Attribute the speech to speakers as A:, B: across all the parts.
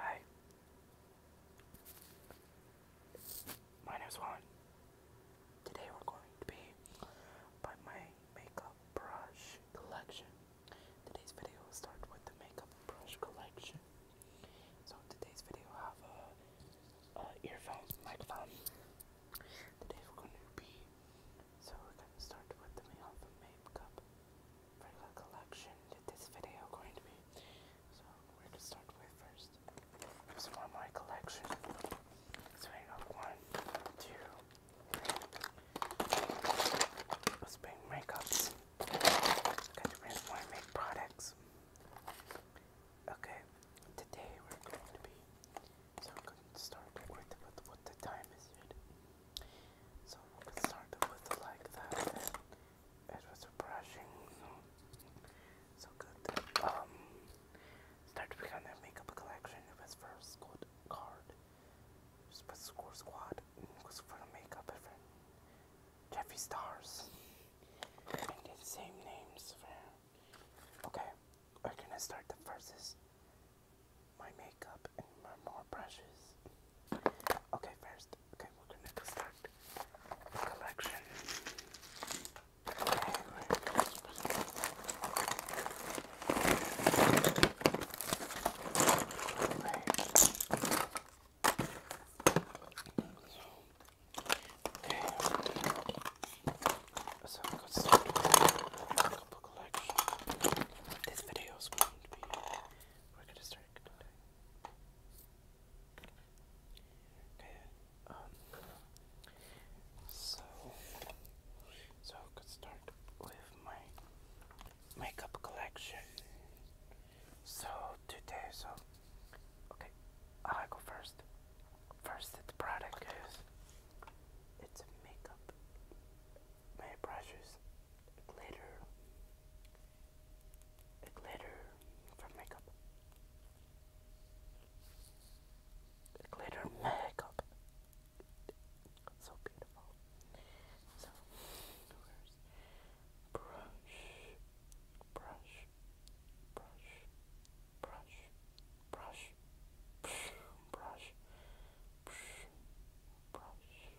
A: Hi. My name is Juan. Today we're going to be by my makeup brush collection. Today's video will start with the makeup brush collection. So today's video I have a, earphones, microphone. Today we're going to be so we're going to start with the makeup for collection did this video going to be. So we're going to start with first. This is my collection. So I got one, two, three. Let's bring makeups. Got to bring more make products. Okay, today we're going to be. So I'm going to start with what the time is so it started with like that it was brushing so good. Um started with a makeup collection, it was for squad card. It was score squad, it was for the makeup different Jeffree Stars. same names Okay, we're gonna start the verses. My makeup and my more brushes. Okay, first, okay, we're gonna start the collection. Okay, so we got started with a couple collection. This video is going be we're gonna start Okay. Um. So. So I could start with my makeup collection. So today, so okay, I go first. First, the product is it's a makeup. My brushes, glitter, glitter from makeup. glitter makeup. so beautiful. So, where's brush, brush, brush, brush, brush, brush, brush, brush, brush,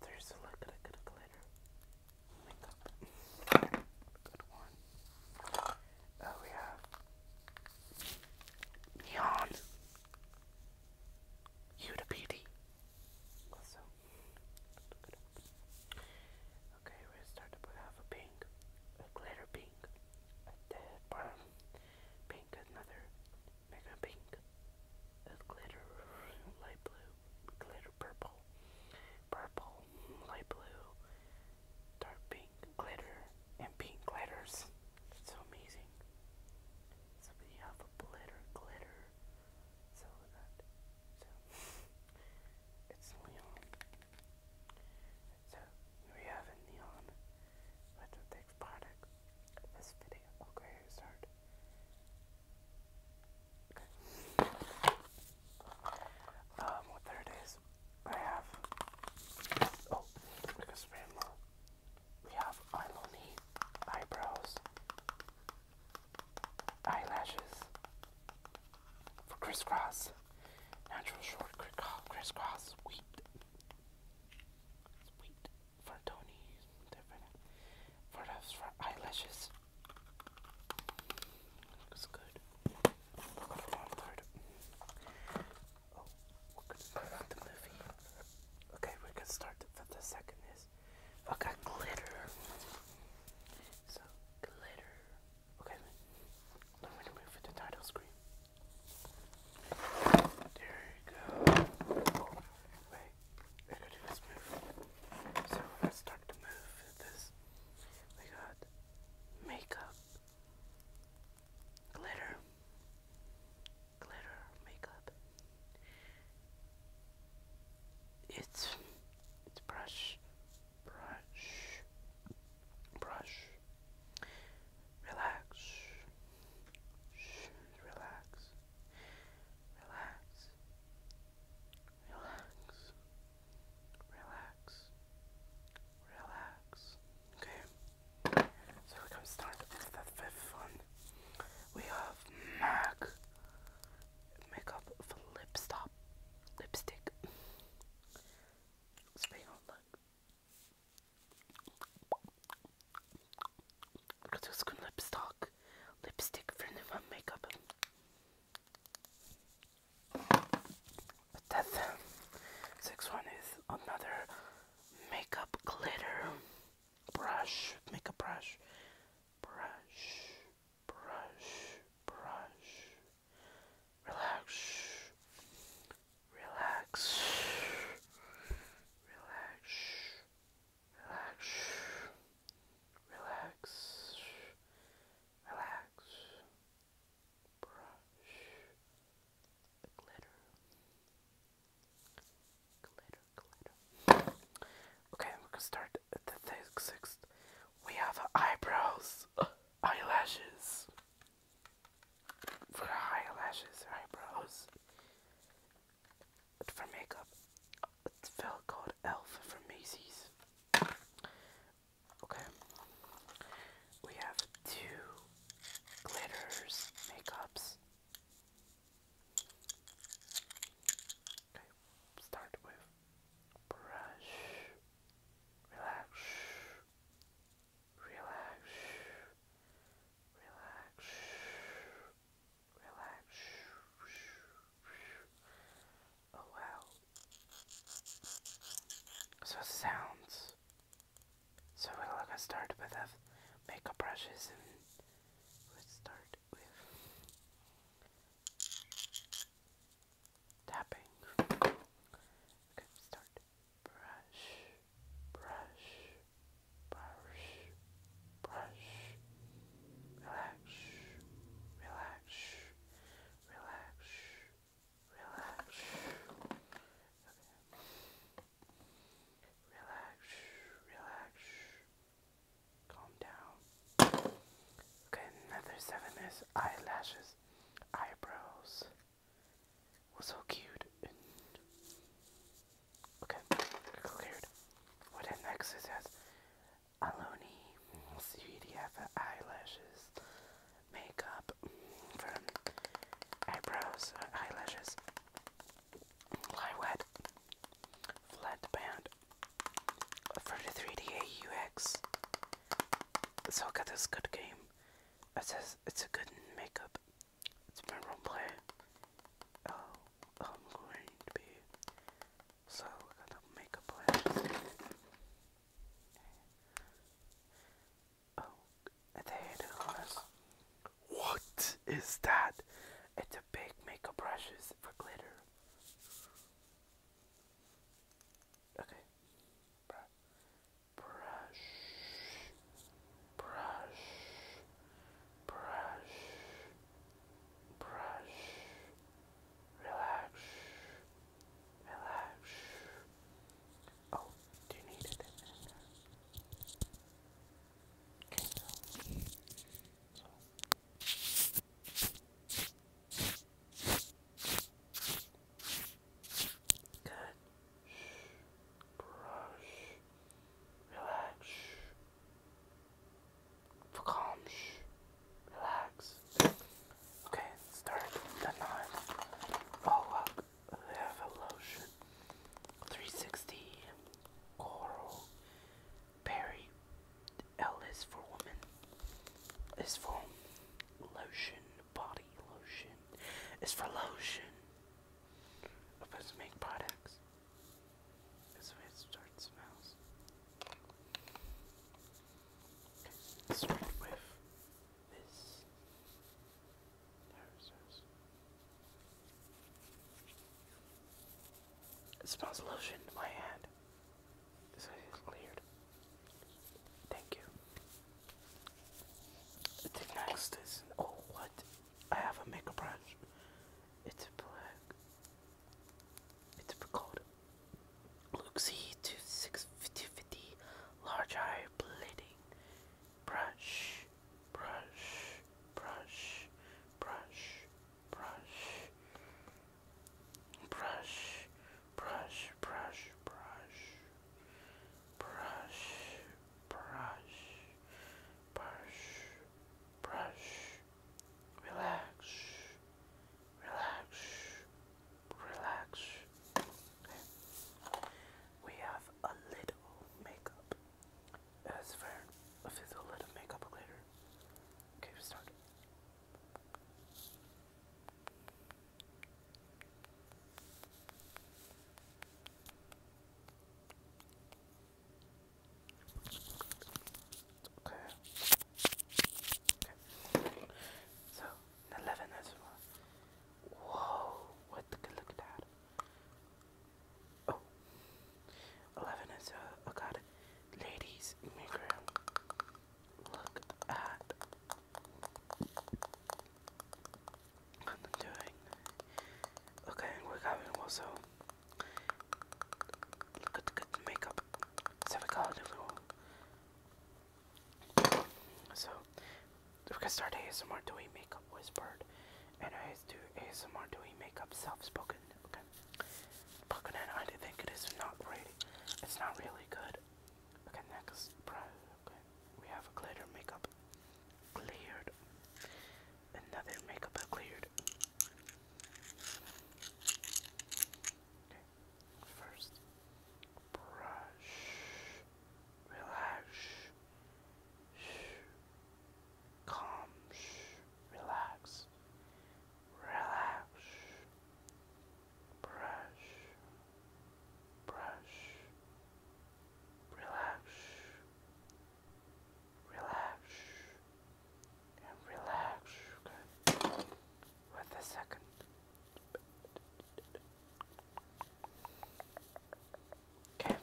A: there's a little bit of glitter makeup. Good one. Oh, we have Neon. Huda Beauty. Also, okay, we start up with half a pink, a glitter pink, a dead brown, pink, another mega pink, a glitter light blue, glitter purple, purple, light blue, dark pink, glitter, and pink glitters. It's so amazing. So we have a glitter, glitter. So that, so it's neon. So we have a neon with the text product this video. Okay, start. Okay. Um, well, there I have. Oh, like We have Iloni eyebrows, eyelashes for crisscross, natural short crisscross, sweet, sweet, for Tony's different for those for eyelashes. Looks good. One third. Oh, we're gonna start the movie. Okay, we can start with the second is. Okay, glitter. So glitter. Okay, I'm move to the title screen. There you go. wait, I gotta do this move. So let's start to move this. We got makeup, glitter, glitter, makeup. It's it's brush, brush, brush. Relax, Shh, relax. Relax. Relax. Relax. Relax. Okay. So we're gonna start with the fifth one. We have MAC makeup for lipstop lipstick. Speaking of look. Kutuzgun lipstick, lipstick for new makeup. But that sixth one is another makeup glitter brush, makeup brush, brush, brush, brush. Relax, relax, relax. Relax. Relax. Relax. Brush glitter. Glitter, glitter. Okay, we're gonna start at the sixth. We have eyebrows, eyelashes. eyelashes, eyebrows for makeup. It's a felt called Elf from Macy's. Okay. We have two glitters makeups. Okay, start with brush, relax, relax, Relax. Relax. Oh wow. So sounds. So we're gonna start with the makeup brushes and we start with tapping. Okay, start brush, brush, brush, brush. Relax, relax, relax, relax. Okay. Relax, relax. Calm down. Okay, another seven is eyelashes, eyebrows, was so cute okay, cleared. What next it says Aloni CDF eyelashes makeup from eyebrows, uh, eyelashes, fly wet, flat band, 33D AUX. So I got this good game. It says it's a good makeup it's my roleplay. Oh, I'm going to be so gonna make a plan. Oh, there it is. What is that? It's a big makeup brushes for glitter. Okay. Brush. Brush brush, brush, brush, relax, relax. Oh, do you need it in there? Okay, so. so. Good brush, relax, for calm, relax. Okay, start the nine. Oh look, they have a lotion. 360 Coral Berry L is for women. Is for lotion, body lotion. Is for lotion of us make products. This way it starts smells. Okay, let's start with this. There it says. It smells lotion in my hand. This is cleared. Thank you. The next is oh what I have a makeup brush. It's black. It's called Luxie 250 Large Eye Bleeding Brush. Brush. Brush. Brush. Brush. Brush. Brush. Brush. Brush. Brush. Brush brush, brush, brush, relax, relax, relax. We have a little makeup. That's fair. I'll fizzle a makeup later. Okay, start. So, 11 as well. Whoa, what the look at that. Oh, 11 is a, I got it. Ladies, look at I'm doing. Okay, we're having also good, good makeup. So we got a So we can start ASMR doing makeup whispered, and I do ASMR doing makeup self-spoken. Okay, spoken, and I think it is not really, it's not really good. Okay, next. Okay we have a glitter makeup cleared. Another makeup cleared. Okay. First, brush, relax, calm, relax, relax, brush, brush, relax, relax, and relax. Okay. With the second. Okay.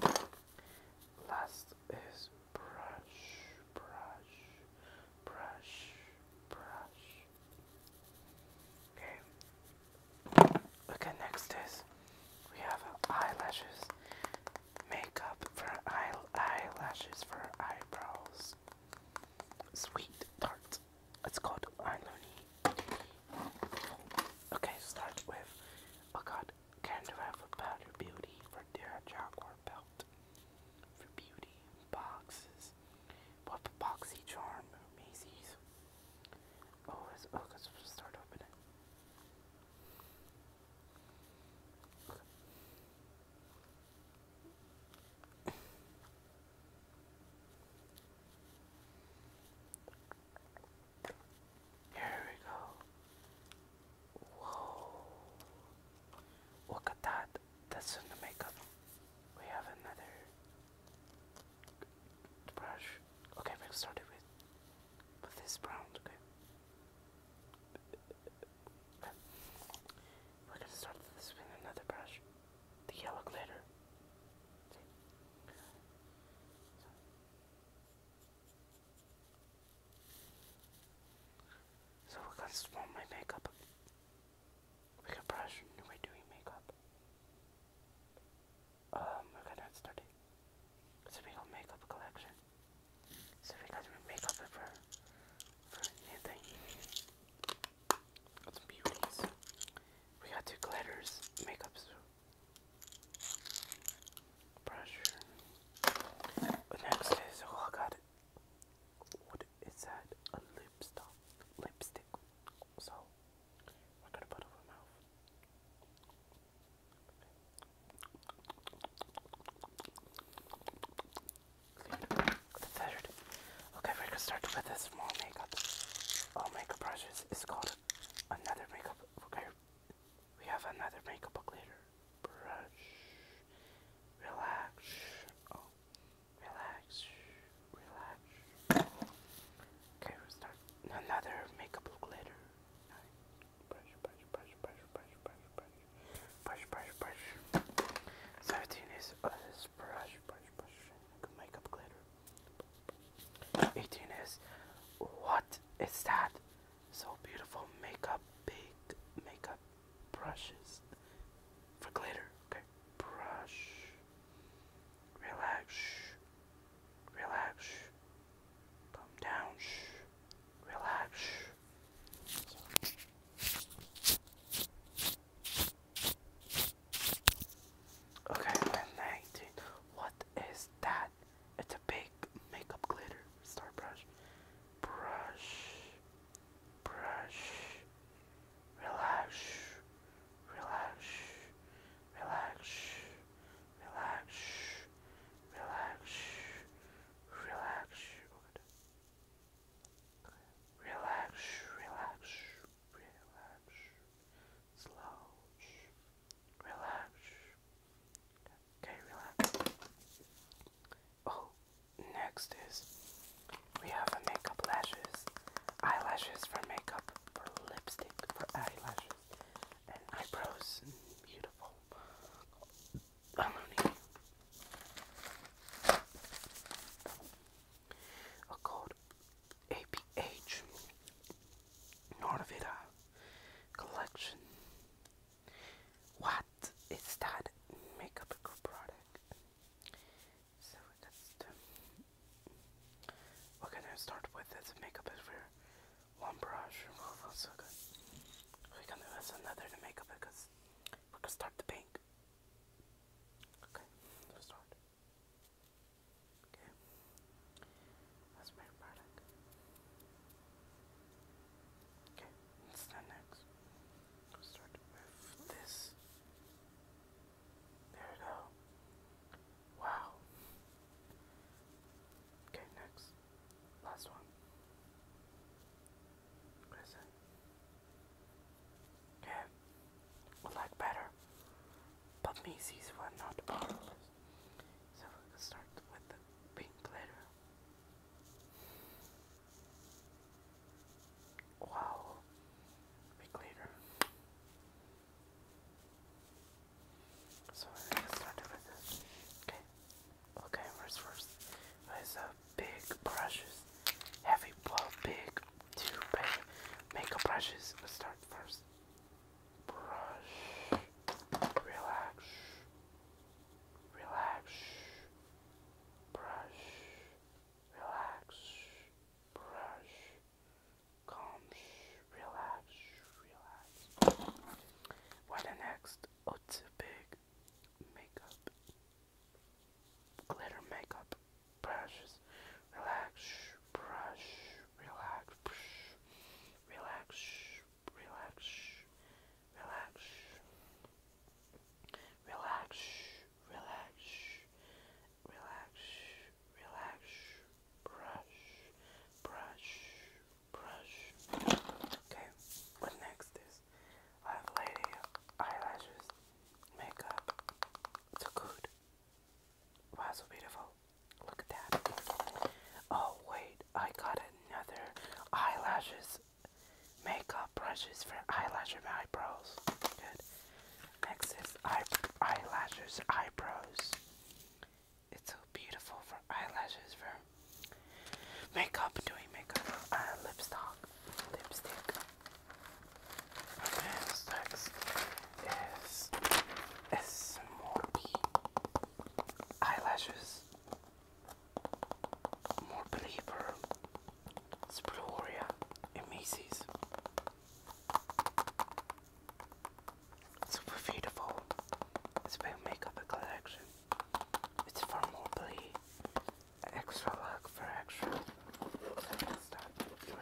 A: Last is brush, brush, brush, brush. Okay, Okay, next is we have eyelashes. Makeup for eye eyelashes for eyebrows. Sweet tart. It's called Iloni. Okay, start with. Oh God, can you have a powder beauty for their jaguar belt? For beauty boxes. What boxy charm, Macy's. Oh, it's, oh, let's start opening. Here we go. Whoa. Look at that. That's in the makeup. We have another brush. Okay, we'll start it with with this brown. Okay. We're gonna start with this with another brush, the yellow glitter. So. we're gonna swap my makeup. We can brush we're doing makeup um, we're gonna start it. So makeup collection. So we got makeup for for anything. Got some beauties. We got two glitters, makeups, brush. But next is oh god, what is that? A lipstick, lipstick. So we're gonna Okay, we're gonna start with a small makeup. All makeup brushes is called another makeup. Okay, we have another makeup book later. Brush. Relax. Oh, relax. Relax. Okay, we'll start another makeup glitter. Brush, brush, brush, brush, brush, brush, brush, brush, brush, brush. Seventeen is oh, brush, brush, brush, makeup glitter. Eighteen is what is that? So beautiful makeup, big makeup brushes for glitter. Okay, brush. Relax. Relax. Calm down. Relax. Okay, 19. What is that? It's a big makeup glitter star brush. Brush. Brush. Relax relax, relax, relax, relax, relax. Oh, good. Relax, relax, relax. Slow. Relax. Okay, relax. Oh, next is we have a makeup lashes. Eyelashes for makeup for lipstick, for eyelashes, and eyebrows, and beautiful baloney. A called APH Norvita collection. What is that makeup product? So that's the um, we're gonna start with this makeup over one brush. Oh, that's so good. We're gonna use another to make up because we're gonna start the pink. Okay, let's start. Okay, that's my product. Okay, what's the next? Let's start with this. There we go. Wow. Okay, next. Last one. What is it? Okay. Would like better. But Macy's one, not all So let's start with the pink glitter. Wow. Big glitter. So I started with this. Okay. Okay, where's first? There's a big brushes. Heavy blow, big two big makeup brushes. Let's start first. Brush. Relax. Relax. Brush. Relax. Brush. Calm, relax, relax. What next? Oh, it's big makeup, glitter makeup brushes. Relax, brush, relax, brush, relax, relax, relax, relax, relax, relax, relax, brush, brush, brush. Okay, what next is I have lady eyelashes, makeup, so good. Wow, so beautiful. Look at that. Oh wait, I got another eyelashes makeup brushes for eyelash and eyebrows. Good. Next eye eyelashes, eyebrows. It's so beautiful for eyelashes, for makeup, doing makeup, uh, lipstick, lipstick. And next is Esmorbi eyelashes. More believer, Sploria, Emesis, Super beautiful. It's big makeup collection. It's formally extra work for extra. Okay.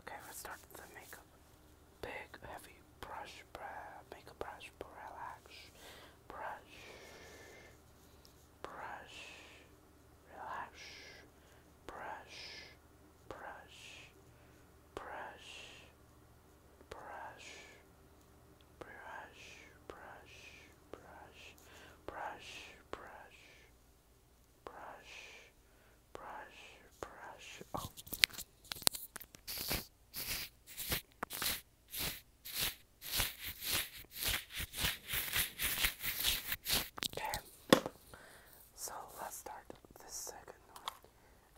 A: Okay, let's start the makeup. Big heavy brush, brush, makeup brush, brush, brush brush, relax, brush, brush, brush, brush, brush, brush, brush, brush, brush, brush, brush, brush. Oh. Okay, so let's start the second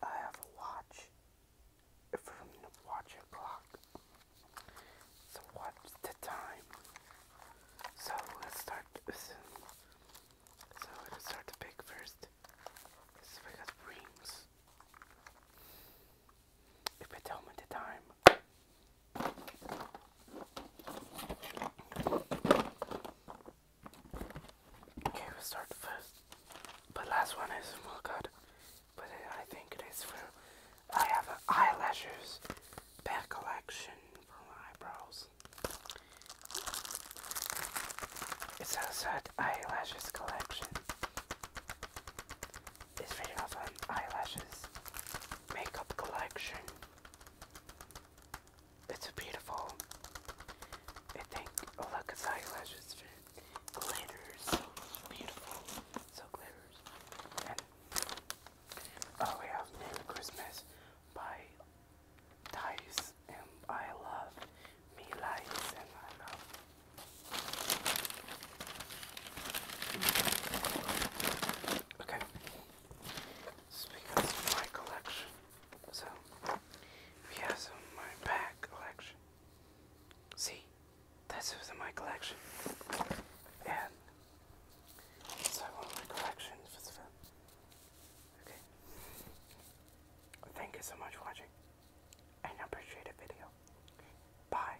A: I have a watch from the watch clock. So watch the time. So let's start with so let's start the pick first. So we got rings. If they tell me the time, Okay, we start first. But last one is well oh good. But I think it is for I have eyelashes back collection for eyebrows. It's a set eyelashes collection. This video of eyelashes makeup collection. It's beautiful. I think oh look it's eyelashes glitters. So beautiful. So glitters. And oh we have Merry Christmas by Dice and I love me lies and I love Okay. This becomes my collection. So we my bag collection. See? This was my collection. And so my collection Okay. Thank you so much for watching. And appreciate the video. Bye.